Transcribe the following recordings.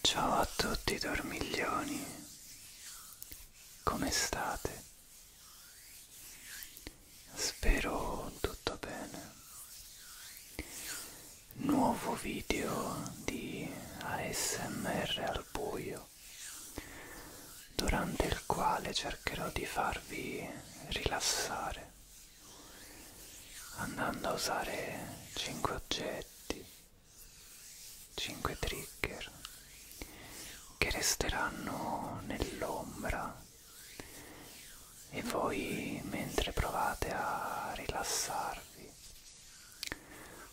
Ciao a tutti dormiglioni, come state? Spero tutto bene. Nuovo video di ASMR al buio, durante il quale cercherò di farvi rilassare andando a usare 5 oggetti 5 trigger che resteranno nell'ombra e voi mentre provate a rilassarvi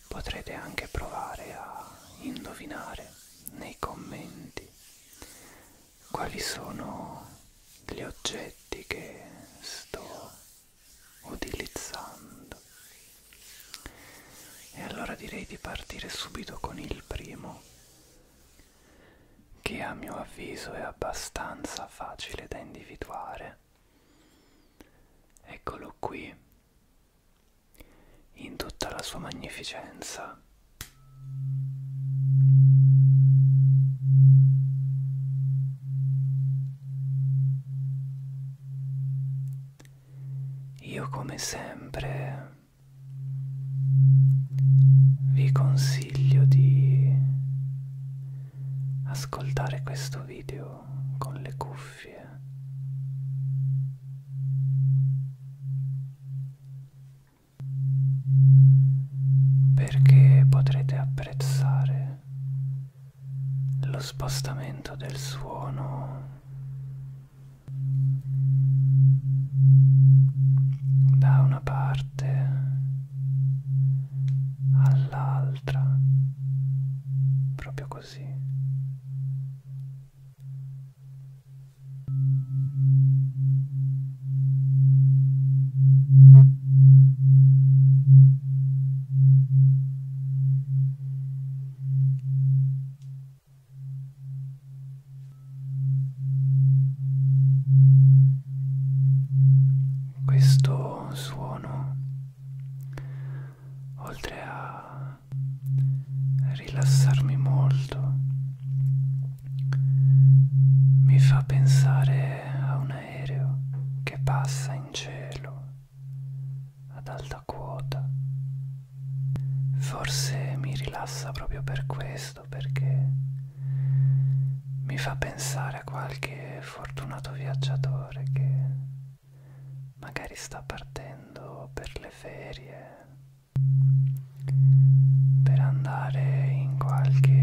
potrete anche provare a indovinare nei commenti quali sono gli oggetti che sto utilizzando e allora direi di partire subito con il primo che a mio avviso è abbastanza facile da individuare eccolo qui in tutta la sua magnificenza io come sempre vi consiglio di ascoltare questo video con le cuffie perché potrete apprezzare sentire lo spostamento del suono da una parte all'altra proprio così questo suono, oltre a rilassarmi molto, mi fa pensare a una aereo che passa in cielo ad alta quota. Forse mi rilassa proprio per questo, perché mi fa pensare a qualche fortunato viaggiatore che magari sta partendo per le ferie per andare in qualche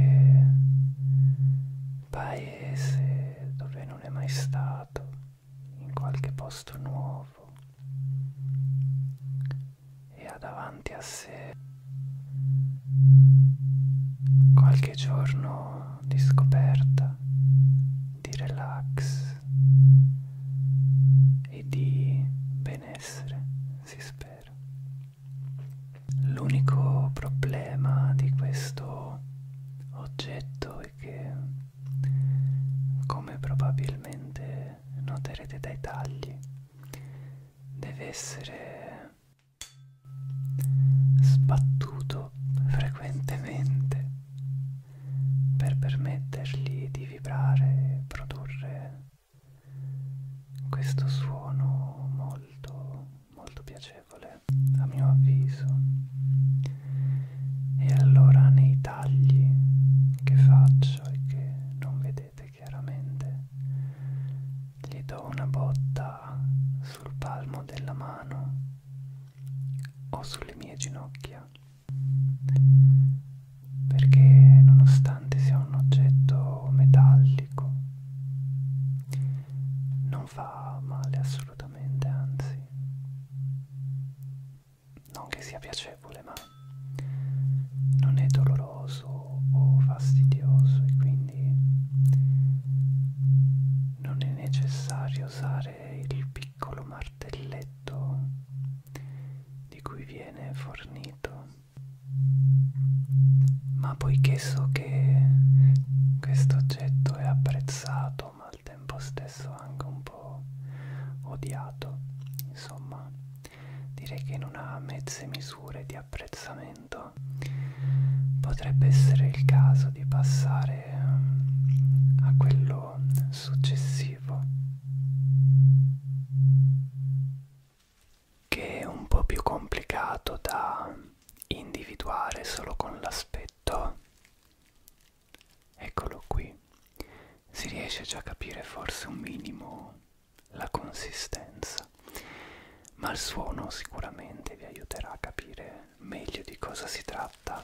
paese dove non è mai stato, in qualche posto nuovo e ha davanti a sé qualche giorno di scoperta, di relax e di benessere, si spera vero. L'unico problema di questo oggetto è che, come probabilmente noterete dai tagli, deve essere sbattuto frequentemente per permettergli di vibrare e produrre questo suono molto molto piacevole a mio avviso e allora nei tagli che faccio e che non vedete chiaramente gli do una botta sul palmo della mano o sulle mie ginocchia perché nonostante sia un oggetto metallico non fa male assolutamente anzi non che sia piacevole ma non è doloroso o fastidioso e quindi non è necessario usare il piccolo martelletto di cui viene fornito ma poiché so che questo oggetto è apprezzato ma al tempo stesso anche un po' odiato, insomma, direi che non ha mezze misure di apprezzamento, potrebbe essere il caso di passare mm, a quello successivo che è un po' più complicato da individuare solo con l'aspetto eccolo qui si riesce già a capire forse un minimo la consistenza ma il suono sicuramente vi aiuterà a capire meglio di cosa si tratta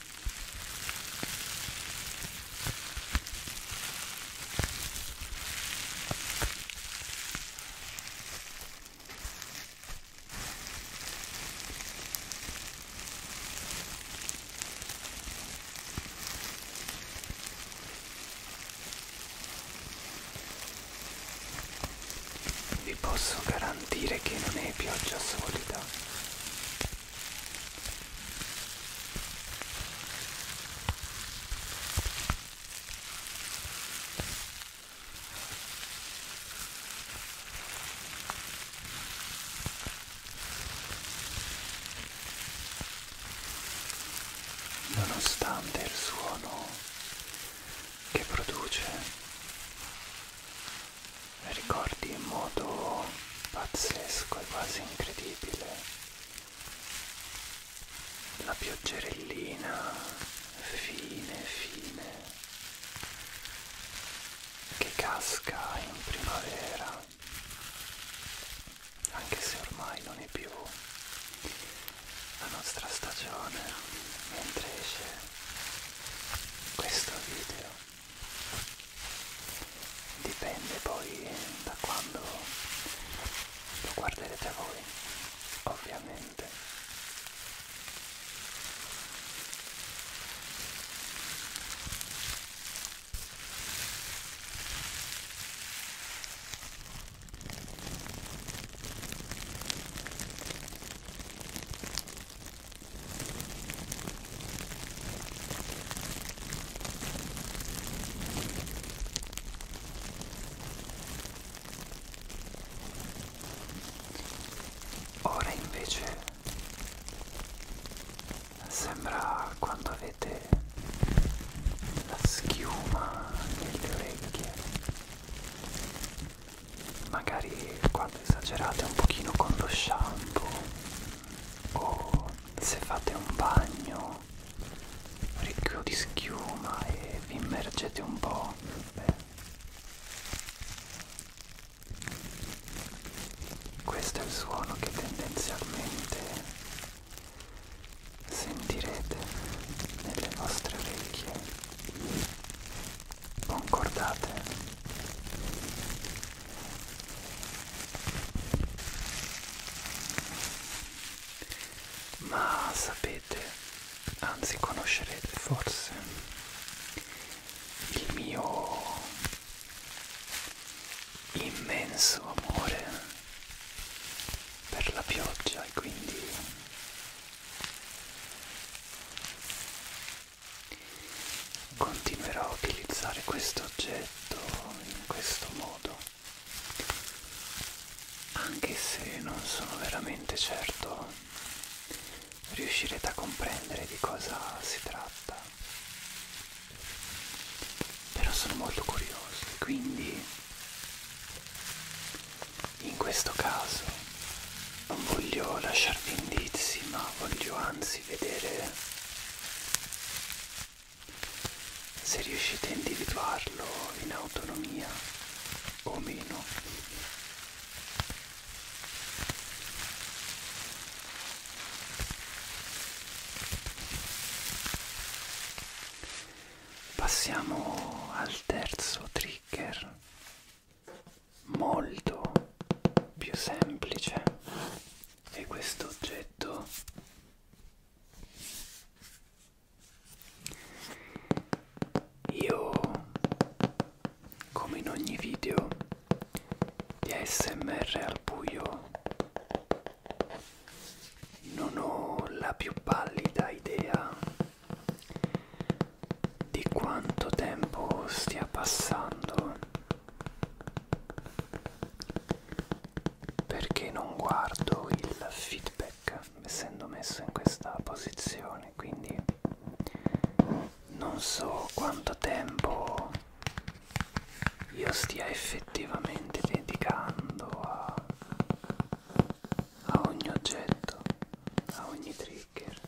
Vi posso garantire che non è pioggia solida. Nonostante il suono che produce ricordi in modo pazzesco e quasi incredibile la pioggerellina fine fine che casca in primavera anche se ormai non è più la nostra stagione mentre esce questo video dipende poi da quando lo guarderete voi ovviamente Ora invece sembra quando avete la schiuma nelle orecchie magari quando esagerate un pochino con lo shampoo o se fate un bagno ricco di schiuma e vi immergete un po' beh, questo è il suono che tendenzialmente sentirete nelle vostre orecchie concordate. Ma sapete, anzi conoscerete forse, il mio immenso amore per la pioggia e quindi Continuerò a utilizzare questo oggetto in questo modo, anche se non sono veramente certo riuscirete a comprendere di cosa si tratta. Però sono molto curioso e quindi in questo caso non voglio lasciarvi indizi ma voglio anzi vedere se riuscite a individuarlo in autonomia o meno passiamo al terzo trigger molto più semplice e questo oggetto io come in ogni video di ASMR al buio non ho la più pallida idea di quanto tempo stia passando perché non guardo il feedback essendo messo in questa posizione quindi non so quanto tempo io stia effettivamente dedicando a, a ogni oggetto a ogni trigger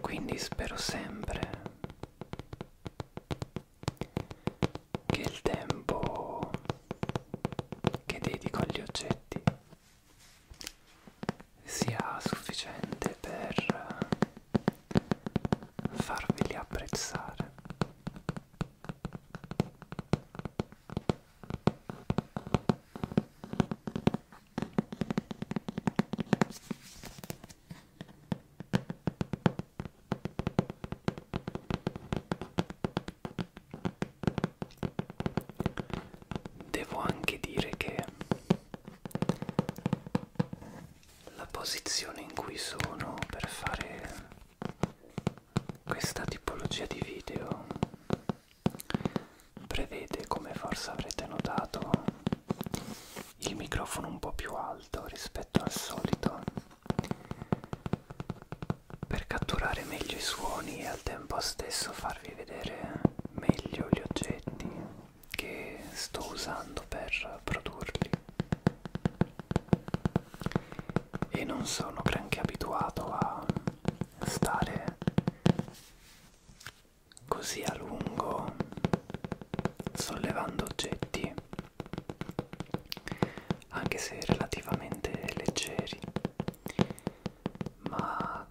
quindi spero sempre che il tempo che dedico agli oggetti sia sufficiente per farveli apprezzare. Devo anche dire che la posizione in cui sono per fare questa tipologia di video prevede, come forse avrete notato, il microfono un po' più alto rispetto al solito per catturare meglio i suoni e al tempo stesso farvi vedere meglio gli oggetti che sto usando per produrli e non sono granché abituato a stare così a lungo sollevando oggetti anche se relativamente leggeri ma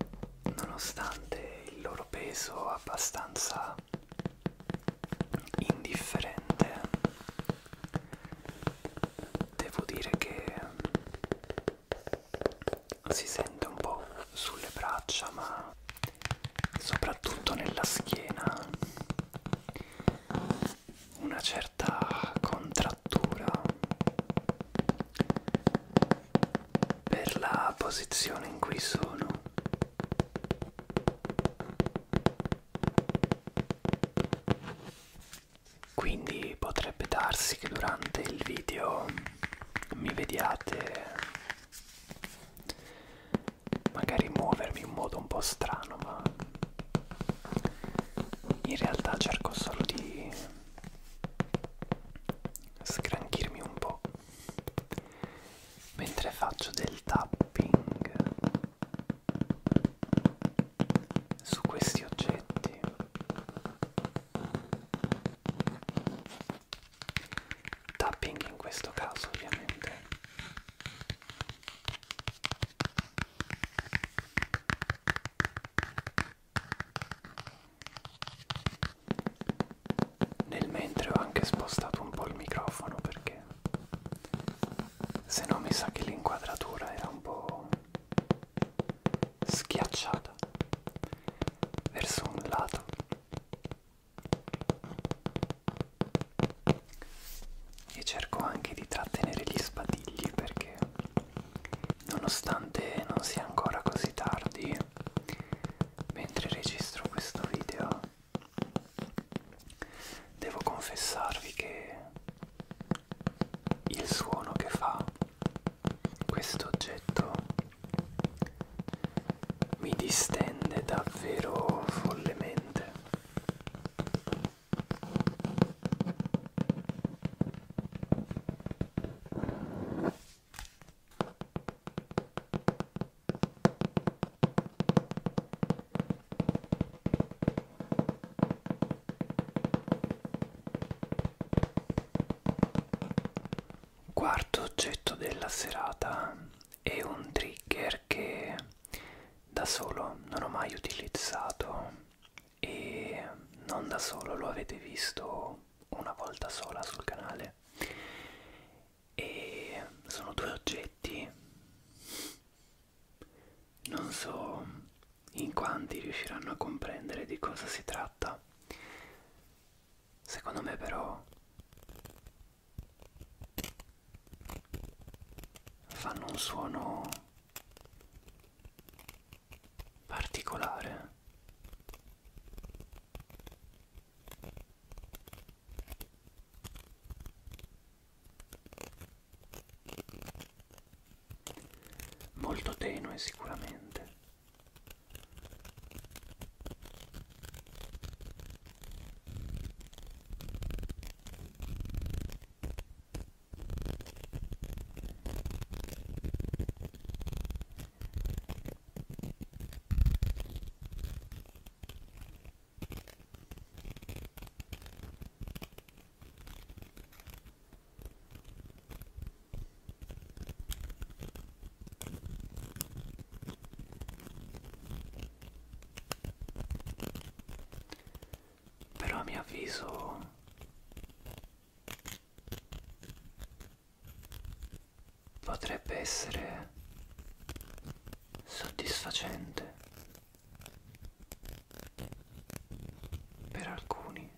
nonostante il loro peso abbastanza indifferente devo dire che si sente un po' sulle braccia ma soprattutto nella schiena una certa contrattura per la posizione in cui sono quindi potrebbe darsi che durante il video mi vediate magari muovermi in modo un po' strano ma in realtà cerco solo di scranchirmi un po' mentre faccio del tapping su questi oggetti tapping in questo caso ovviamente nel mentre ho anche spostato un po' il microfono perché se no mi sa che l'inquadratura era un po' schiacciata verso un lato e cerco anche di trattenere gli spadigli perché nonostante non sia ancora così tardi mentre registro questo video devo confessarvi che il suono che fa questo oggetto mi distende davvero follemente Quarto oggetto della serata è un trigger che da solo non ho mai utilizzato e non da solo lo avete visto una volta sola sul canale e sono due oggetti non so in quanti riusciranno a comprendere di cosa si tratta. Secondo me però fanno un suono particolare molto tenue sicuramente però a mio avviso potrebbe essere soddisfacente per alcuni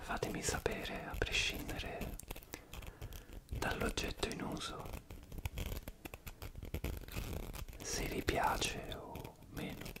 fatemi sapere a prescindere dall'oggetto in uso se vi piace o meno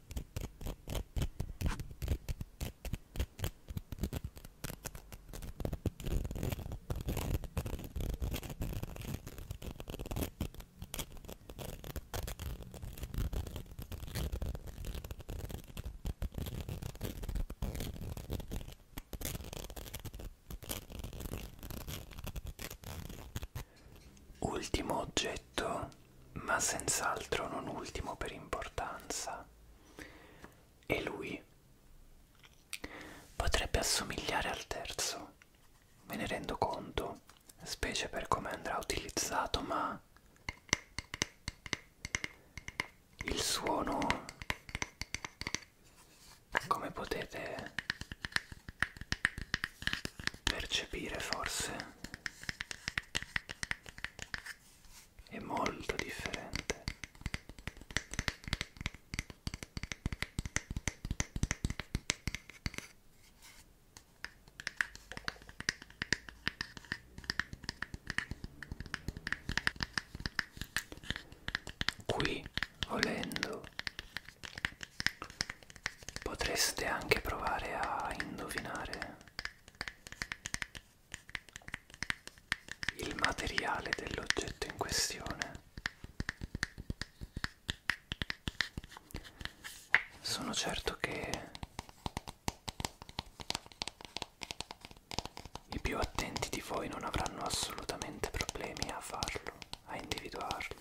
Ultimo oggetto ma senz'altro non ultimo per importanza. E lui potrebbe assomigliare al terzo, me ne rendo conto, specie per come andrà utilizzato, ma il suono, come potete percepire forse è molto differente qui volendo potreste anche provare a indovinare il materiale dell'oggetto in questione sono certo che i più attenti di voi non avranno assolutamente problemi a farlo, a individuarlo.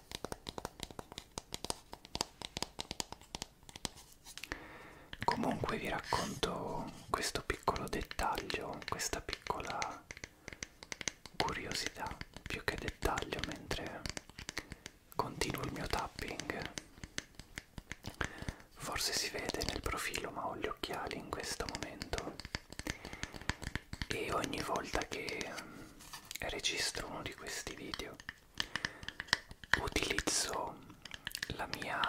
Comunque vi racconto questo piccolo dettaglio, questa piccola curiosità, più che dettaglio, mentre continuo il mio tapping. Forse si vede nel profilo, ma ho gli occhiali in questo momento. E ogni volta che registro uno di questi video utilizzo la mia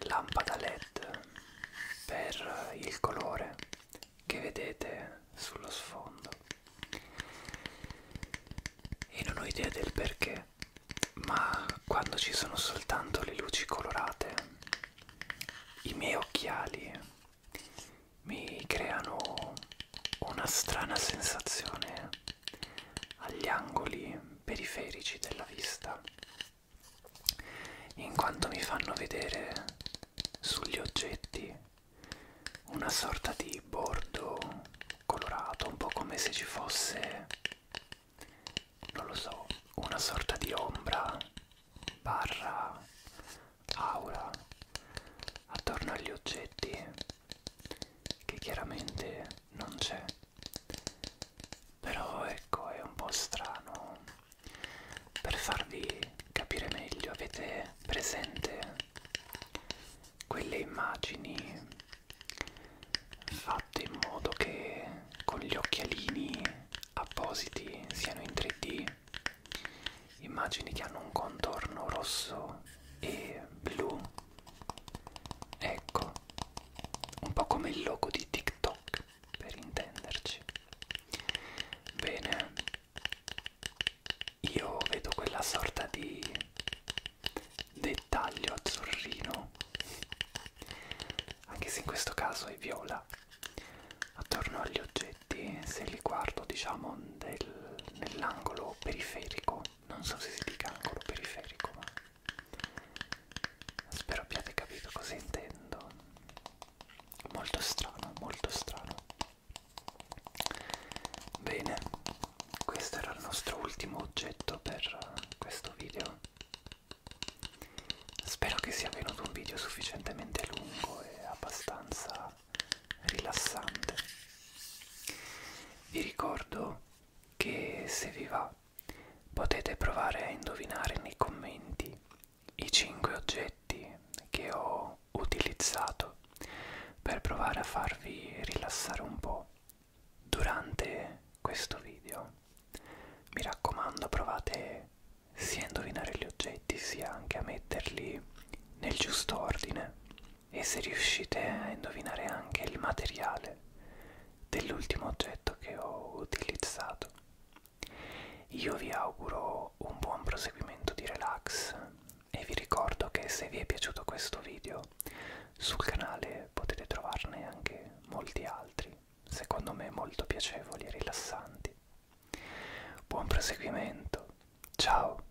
lampada led per il colore che vedete sullo sfondo e non ho idea del perché ma quando ci sono soltanto le luci colorate i miei occhiali mi creano una strana sensazione agli angoli periferici della vista in quanto mi fanno vedere sugli oggetti una sorta di bordo colorato un po' come se ci fosse non lo so una sorta di ombra barra aura attorno agli oggetti che chiaramente non c'è però ecco è un po' strano per farvi capire meglio avete presente quelle immagini fatte in modo che con gli occhialini appositi siano in 3D immagini che hanno un contorno rosso e blu ecco un po' come il logo di TikTok per intenderci bene io vedo quella sorta di dettaglio azzurrino anche se in questo caso è viola attorno agli oggetti oggetti se li guardo diciamo nell'angolo periferico non so se si dica angolo periferico ma spero abbiate capito cosa intendo molto strano molto strano bene questo era il nostro ultimo oggetto per questo video spero che sia venuto un video sufficientemente lungo e abbastanza rilassante. Vi ricordo che se vi va potete provare a indovinare nei commenti i 5 oggetti che ho utilizzato per provare a farvi rilassare un po' durante questo video. Mi raccomando provate sia a indovinare gli oggetti oggetti sia anche a metterli nel giusto ordine e se riuscite a indovinare anche il materiale dell'ultimo oggetto che ho utilizzato. Io vi auguro un buon proseguimento di relax e vi ricordo che se vi è piaciuto questo video sul canale potete trovarne anche molti altri, secondo me molto piacevoli e rilassanti. Buon proseguimento. Ciao.